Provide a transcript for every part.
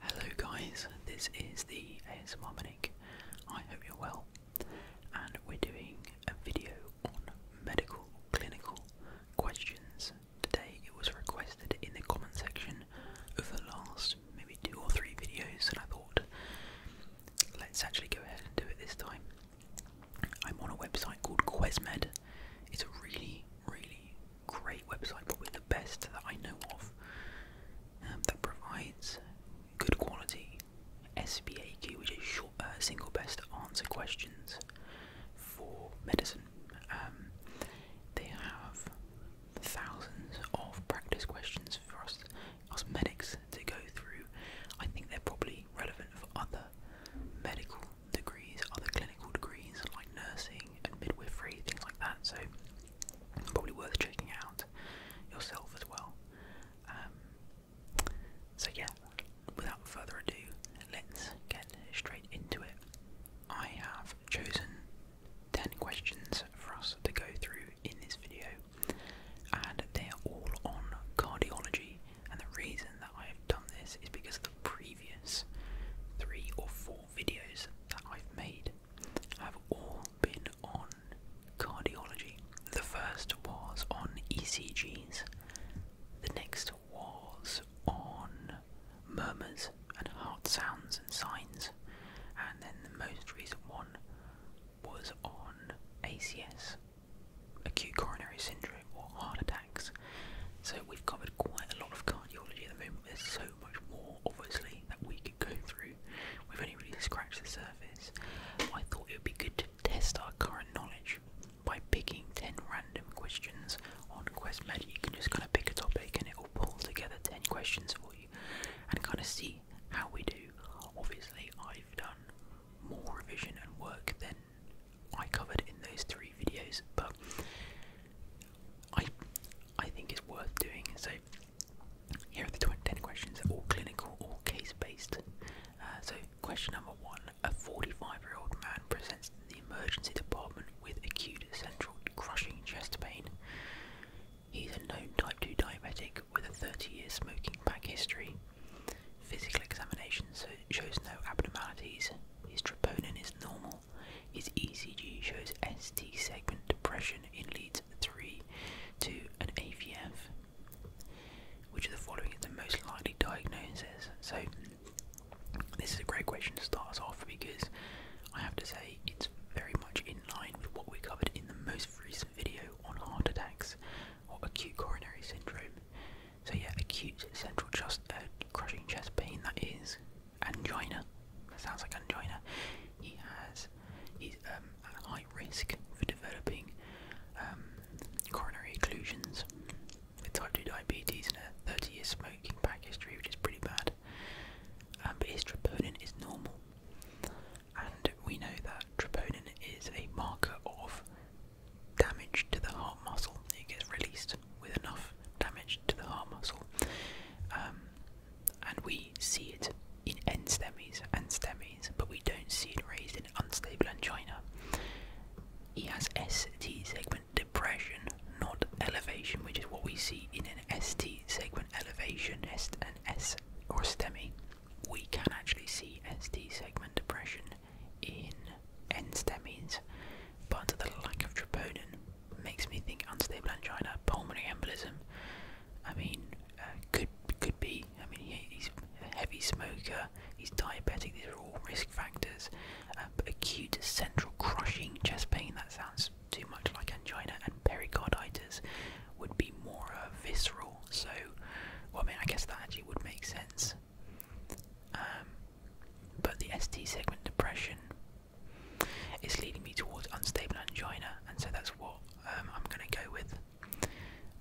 Hello guys, this is the ASMR Manic. I hope you're well. And we're doing a video on medical clinical questions. Today it was requested in the comment section of the last maybe two or three videos and I thought let's actually go ahead and do it this time. I'm on a website called Quizmed. It's a really, really great website, probably the best that I know of, um, that provides good quality SBAQ, which is short, uh, single best answer questions for medicine. Um, they have thousands of practice questions for us, us medics to go through. I think they're probably relevant for other medical degrees, other clinical degrees like nursing clothing and midwifery, things like that. So probably worth checking out yourself as well. Um, so yeah, without further ado, let's get straight into it. I have chosen 10 questions for us to go through in this video, and they are all on cardiology. And the reason that I have done this is because the previous three or four videos that I've made have all been on cardiology. The first was on ECGs, the next was on murmurs and heart sounds and signs, and then the most recent one was on ACS, acute coronary syndrome or heart attack. So we've covered quite a lot of cardiology at the moment. There's so much more, obviously, that we could go through. We've only really scratched the surface. I thought it would be good to test our current knowledge by picking 10 random questions on QuestMed. You can just kind of pick a topic and it will pull together 10 questions for you and kind of see how we do. Obviously, I've done more revision and work than I covered in those three videos, but I I think is worth doing. So here are the twenty questions. They're all clinical, all case-based. Uh, so question number one: A 45-year-old man presents to the emergency department with acute central crushing chest pain. He's a known type 2 diabetic with a 30-year smoking pack history. Physical examination shows no abnormalities. His troponin is normal. His ECG shows ST segment depression in leads 3 to an AVF. Which of the following is the most likely diagnosis? So, this is a great question to start us off because I have to say it's very much in line with what we covered in the most recent video on heart attacks or acute coronary syndrome. So yeah, acute central chest, uh, crushing chest pain. That is angina. That sounds like angina. He has. Um, high risk for developing um, coronary occlusions with type 2 diabetes and a 30 years smoking pack history, which is pretty bad. Um, but his troponin is normal, and we know that troponin is a marker of damage to the heart muscle. It gets released with enough damage to the heart muscle. Um, and we see it in n stemmies and stemmies, but we don't see it raised in unstable angina. He has ST segment depression, not elevation, which is what we see in an ST segment elevation, and S or stemmy. We can actually see ST segment depression in N-stemmies, but the lack of troponin makes me think unstable angina, pulmonary embolism. I mean, uh, could could be. I mean, he's a heavy smoker. He's diabetic. These are all risk factors. Uh, acute central crushing chest pain. That sounds too much like angina and pericarditis would be more uh, visceral. So, well, I mean, I guess that actually would make sense. Um, but the ST segment depression is leading me towards unstable angina, and so that's what um, I'm going to go with.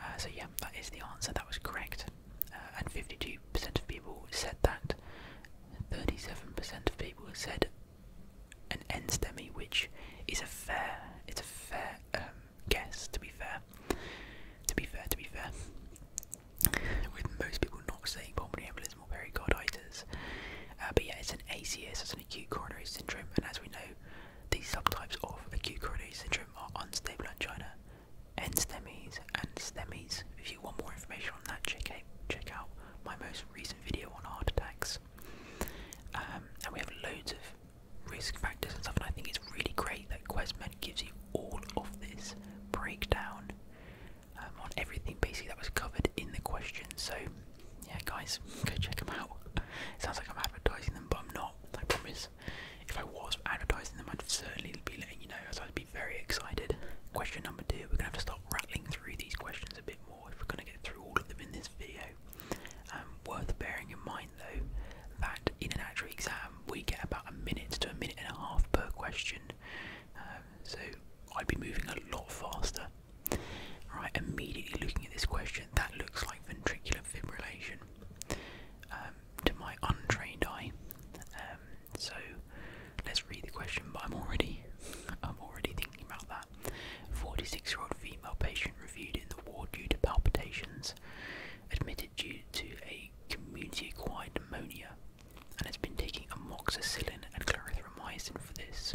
Uh, so, yeah, that is the answer, that was correct. Uh, and 52% of people said that, 37% of people said an end STEMI, which is a fair, it's a fair um, guess, to be fair. To be fair, to be fair with most people not saying pulmonary embolism or pericarditis. Uh, but yeah, it's an ACS, it's an acute coronary syndrome, and as we know, these subtypes of acute coronary syndrome are unstable angina, end STEMIs, and STEMIs. If you want more information on that, check out, my most recent video on heart attacks. Um, and we have loads of risk factors and stuff, and I think it's really great that Quest gives you all of this breakdown um, on everything basically that was covered in the question. So, yeah, guys, go check them out. sounds like I'm advertising them, but I'm not. I promise. If I was advertising them, I'd certainly be letting you know, as I'd be very excited. Question number two: We're gonna have to start rattling through these questions a bit more if we're gonna get through all of them in this video. Um, worth bearing in mind, though, that in an actual exam, um, we get about a minute to a minute and a half per question. Um, so I'd be moving a lot faster. Right, immediately looking at this question, that looks like ventricular fibrillation um, to my untrained eye. so let's read the question, but I'm already, I'm already thinking about that. 46-year-old female patient reviewed in the ward due to palpitations, admitted due to a community-acquired pneumonia and has been taking amoxicillin and clarithromycin for this.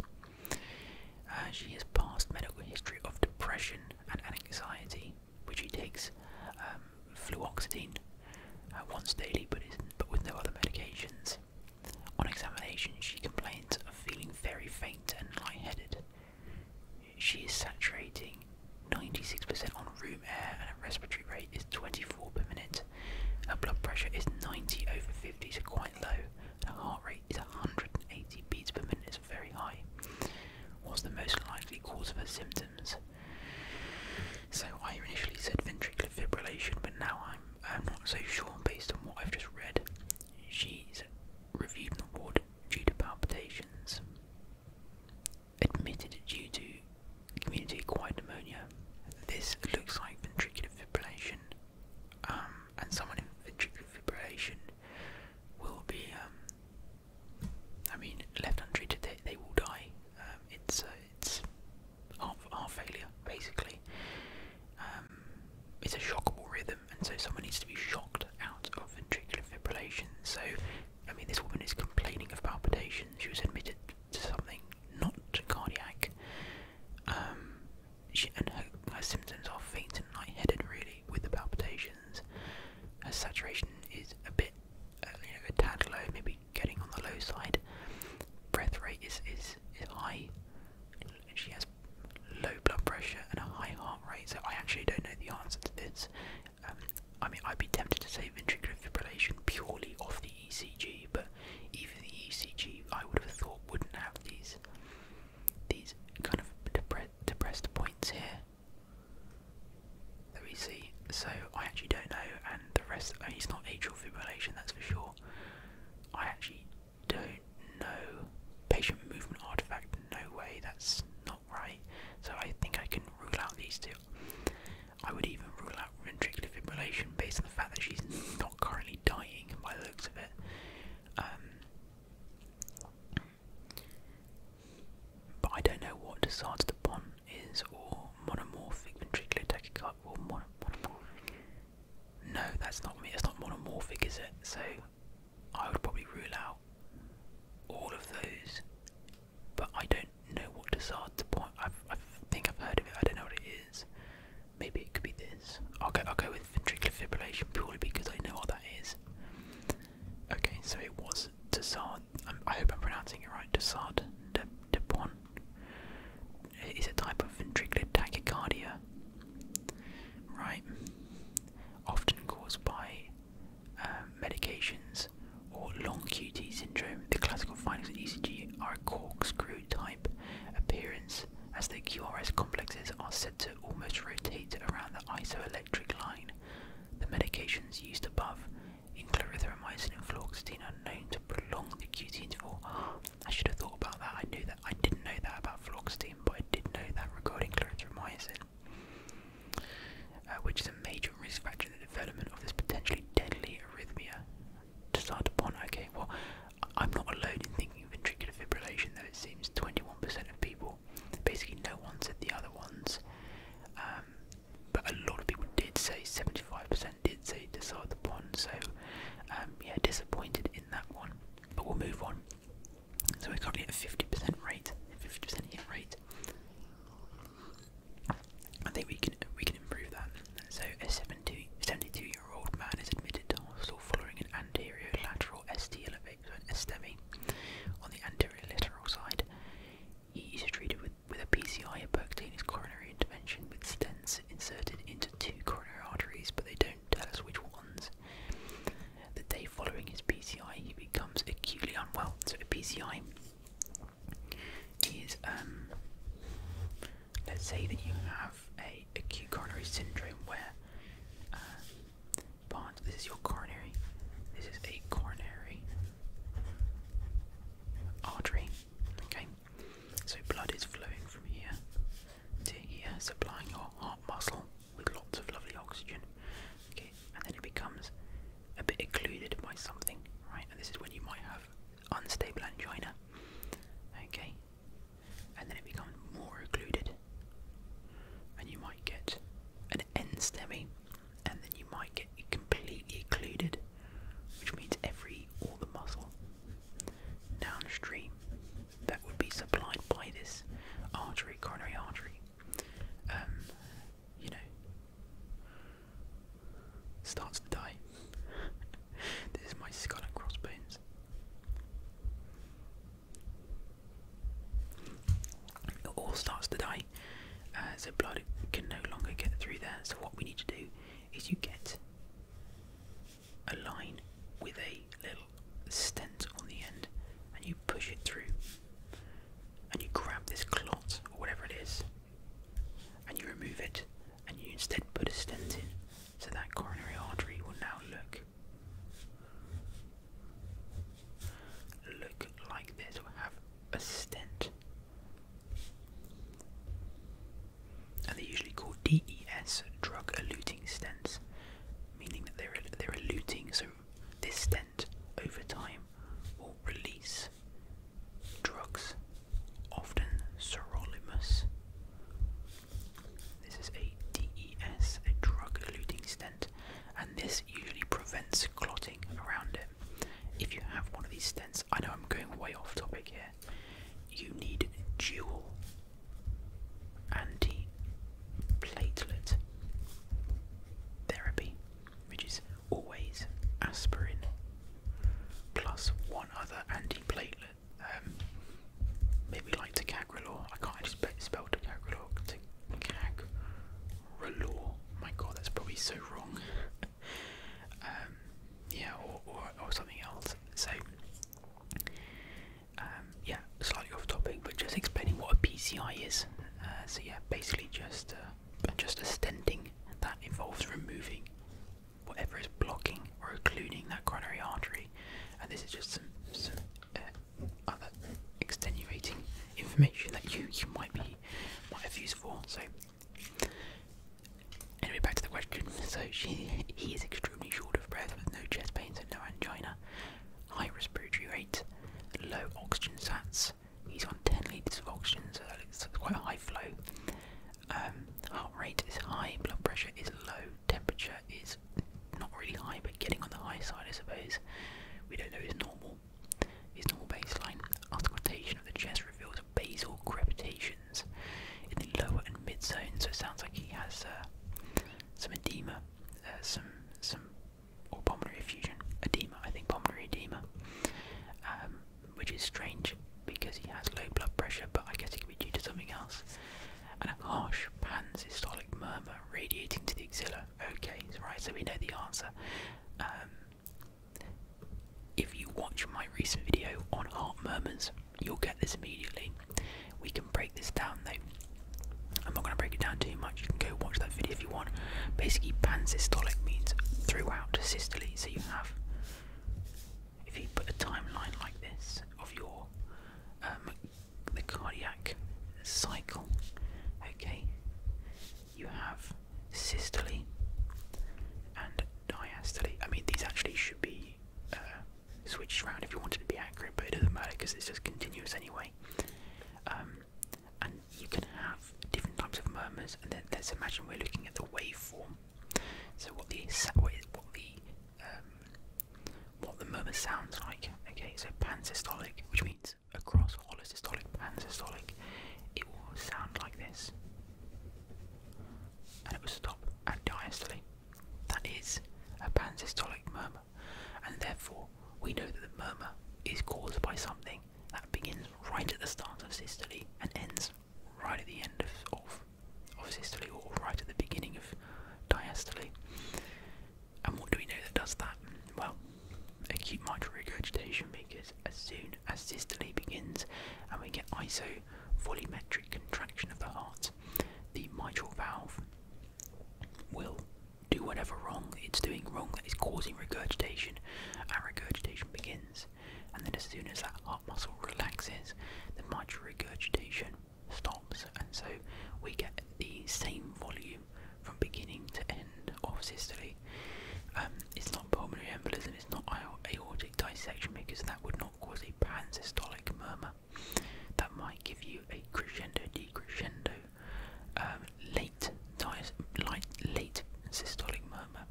Uh, she has past medical history of depression and anxiety, which she takes um, fluoxetine uh, once daily, but, but with no other medications. On examination, she complains of feeling very faint and lightheaded she is saturating 96% on room air and her respiratory rate is 24 per minute. Her blood pressure is 90 over 50, so quite low. Her heart rate is 180 beats per minute, so very high. What's the most likely cause of her symptoms? So I initially said ventricular fibrillation, but now I'm I'm not so sure based on what I've just read. She's reviewed in the ward due to palpitations admitted due to community acquired pneumonia. This looks like ventricular fibrillation, um, and someone in ventricular fibrillation will be, um, I mean, left untreated, they, will die. Um, it's uh, it's heart, heart failure, basically. it's a shockable rhythm, and so someone needs to be shocked out of ventricular fibrillation. So, I mean, this woman is complaining of palpitations. She was admitted to something not cardiac. Um, and her, symptoms are faint and lightheaded, really, with the palpitations. Her saturation is a bit, uh, a tad low, maybe getting on the low side. Breath rate is, is, is high. She has low blood pressure and a high heart rate. So I actually don't know the answer to this. Um, I mean, I'd be tempted to say ventricular fibrillation purely off the ECG, but even the ECG, I would have thought, wouldn't have these these kind of depre depressed points here that we see. So I actually don't know, and the rest. it's not atrial fibrillation, that's for sure. I actually don't know. Patient movement artifact, no way. That's not right. So I think I can rule out these two. I would even rule out ventricular fibrillation based on the fact that she's not currently dying by the looks of it. Um, but I don't know what the of the upon is or monomorphic ventricular tachycardia or mono, monomorphic. No, that's not me. It's not monomorphic, is it? So I would probably rule out all of those, but I don't know what Desard to point. i I think I've heard of it. I don't know what it is. Maybe it could be this. I'll go. I'll go with ventricular fibrillation purely because I know what that is. Okay, so it was Desard. Um, I hope I'm pronouncing it right. Desard de Depon. It is a type of ventricular tachycardia, right? Often caused by um, medications, or long QT syndrome, the classical findings of ECG are a corkscrew type appearance, as the QRS complexes are said to almost rotate around the isoelectric line. The medications used above, including erythromycin and fluoxetine, are known to prolong the QT interval. I should have thought about that. I knew that. I didn't know that about fluoxetine, but I did know that regarding clarithromycin. Uh, which is a major risk factor in the development of this potentially deadly arrhythmia. To start upon, okay, well, I'm not alone in thinking ventricular fibrillation, though it seems 21 of people, basically no one said the other ones, um, but a lot of people did say 75 did say to start upon, so um, yeah, disappointed in that one. But we'll move on. So we're currently at 50% rate, 50% hit rate. I think we can we can improve that. So a 72 year old man is admitted to hospital following an anterior lateral ST elevate, STEMI on the anterior lateral side. He is treated with, with a PCI, a percutaneous coronary intervention, with stents inserted into two coronary arteries, but they don't tell us which ones. The day following his PCI, he becomes acutely unwell. So a PCI is, um, let's say that you have a acute coronary syndrome where uh, this is your coronary, this is a coronary artery. Okay, so blood is flowing from here to here, supplying your heart muscle with lots of lovely oxygen. Okay, and then it becomes a bit occluded by something, right? And this is when you might have unstable angina. Okay, and then it becomes more occluded, and you might get an end STEMI, and then you might get completely occluded, which means every all the muscle downstream that would be supplied by this artery, coronary artery. Um, you know, starts to die. this is my skull and crossbones. It all starts to die, uh, so blood can no longer get through there. So what we need to do is you get a line with a little stent on the end and you push it through and you grab this clot or whatever it is and you remove it and you instead put a stent in so that coronary artery will now look look like this or have a stent and they're usually called DES drug eluting stents meaning that they're they're eluting. So this stent over time will release drugs, often sirolimus. This is a DES, a drug-eluting stent, and this usually prevents clotting around it. If you have one of these stents, I know I'm going way off topic here. You need dual antiplatelet therapy, which is always aspirin plus one other antiplatelet. Um, maybe like ticagrelor. I can't actually spell ticagrelor. Ticagrelor. My God, that's probably so wrong. Um, yeah, or something else. So um, yeah, slightly off topic, but just explaining what a PCI is. Uh, so yeah, basically just uh, just a stenting that involves removing whatever is blocking or occluding that coronary artery, and this is just some some uh, other extenuating information that you you might be might have used for. So anyway, back to the question. So she he is extremely short of breath with no chest pain pains and no angina, high respiratory rate, low oxygen sats. He's on 10 litres of oxygen, so that quite a high flow. Um, heart rate is high, blood pressure is low, temperature is not really high, but getting on the high side, I suppose. We don't know his normal, his normal baseline. Auscultation of the chest reveals basal crepitations in the lower and mid zone, so it sounds like he has uh, some edema, uh, some some or pulmonary effusion, edema. I think pulmonary edema, um, which is strange because he has low blood pressure, but I guess it could be due to something else. And a harsh pansystolic murmur radiating to the axilla. Okay, right. So we know the answer. Um, if you watch my recent video on heart murmurs, You'll get this immediately. We can break this down though. I'm not going to break it down too much. You can go watch that video if you want. Basically, pansystolic means throughout systole. So you have, if you put a timeline like this of your um, the cardiac cycle, okay, you have systole and diastole. I mean, these actually should be uh, switched around if you wanted to be accurate, but it doesn't matter because it's just continuous anyway. Um, and you can have different types of murmurs, and then let's imagine we're looking at the waveform. So what the what, is, what the um, what the murmur sounds like. Okay, so pansystolic, which means across holosystolic, pansystolic, it will sound like this, and it will stop at diastole. That is a pansystolic murmur, and therefore we know that the murmur is caused by something that begins right at the start of systole and ends right at the end of, of, systole or right at the beginning of diastole. And what do we know that does that? Well, acute mitral regurgitation because as soon as systole begins and we get isovolumetric contraction of the heart, the mitral valve will do whatever wrong it's doing wrong that is causing regurgitation, and regurgitation begins. And then, as soon as that heart muscle relaxes, the mitral regurgitation stops, and so we get the same volume from beginning to end of systole. Um, it's not pulmonary embolism, it's not aortic dissection because that would not cause a pansystolic murmur that might give you a crescendo decrescendo um, late light, late systolic murmur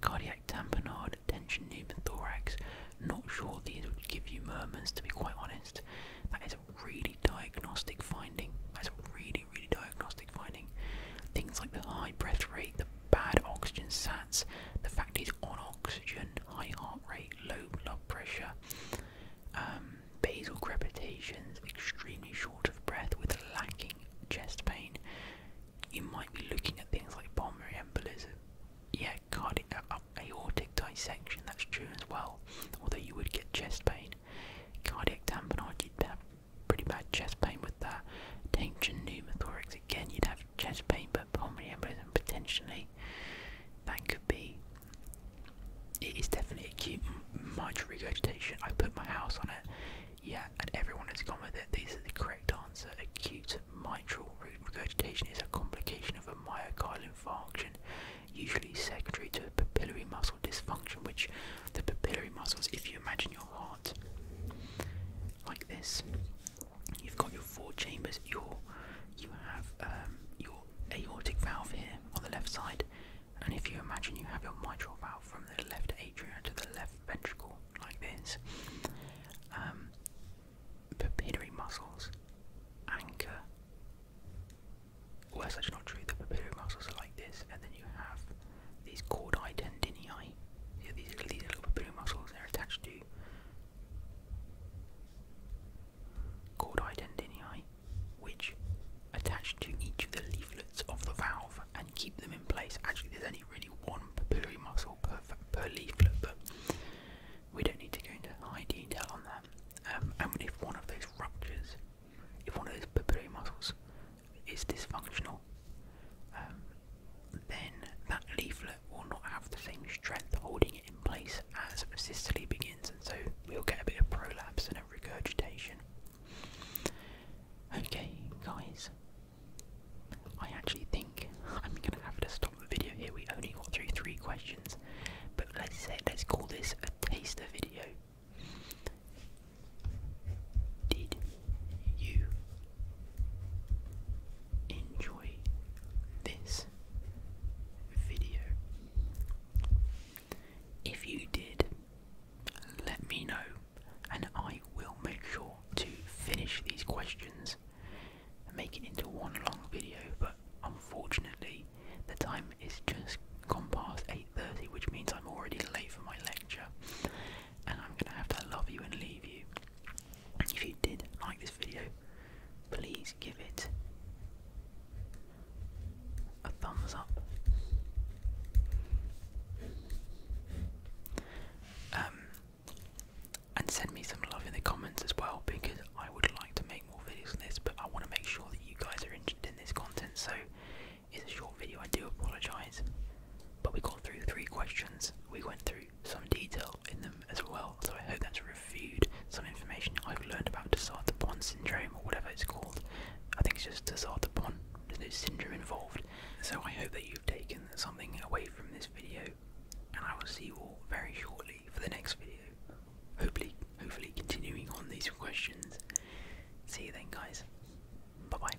cardiac tamponade tension pneumothorax not sure these would give you murmurs to be quite honest that is a really diagnostic finding that's a really really diagnostic finding things like the high breath rate the bad oxygen sat the fact is, on oxygen, high heart rate, low blood pressure, um, basal crepitations, extremely short of breath with lacking chest pain. You might be looking at things like pulmonary embolism. Yeah, cardiac, uh, uh, aortic dissection, that's true as well, although you would get chest pain. Cardiac tamponade, you'd have pretty bad chest pain with that. Tension pneumothorax, Again, you'd have chest pain, but pulmonary embolism potentially. That could be. It is definitely acute mitral regurgitation. I put my house on it. Yeah, and everyone has gone with it. This is the correct answer. Acute mitral regurgitation is a complication of a myocardial infarction, usually secondary to a papillary muscle dysfunction, which the papillary muscles, if you imagine your heart like this, You've got your four chambers. Your you have um, your aortic valve here on the left side, and if you imagine you have your mitral valve from the left atrium to the left ventricle like this. Um, papillary muscles anchor. Well, that's actually not true. The papillary muscles are like this, and then you have these chordae tendinii. Yeah, these, these little papillary muscles. They're attached to Called identini, which attach to each of the leaflets of the valve and keep them in place. Actually, there's only really one papillary muscle per, leaflet, but we don't need to go into high detail on that. Um, and if one of those ruptures, if one of those papillary muscles is dysfunctional, um, then that leaflet will not have the same strength holding it in place as systole begins, and so we'll get a bit of prolapse and a regurgitation. Okay, guys, I actually think I'm gonna have to stop the video here. We only got through three questions, but let's say let's call this a taster video. Did you enjoy this video. If you did, let me know and I will make sure to finish these questions and make it into one long video, but unfortunately the time is just gone past 8.30 which means I'm already late for my lecture and I'm gonna have to love you and leave you. If you did like this video, please give it a thumbs up. Um, and send me some love in the comments as well because I would like to make more videos on this, but I want to make sure that you guys are interested in this content. So it's a short video. I do apologise. But we got through three questions. We went through some detail in them as well, so I hope that's reviewed some information I've learned about Desart Pond syndrome or whatever it's called. I think it's just Desart Pond, there's no syndrome involved. So I hope that you've taken something away from this video, and I will see you all very shortly for the next video. Hopefully, hopefully continuing on these questions. See you then, guys. Bye bye.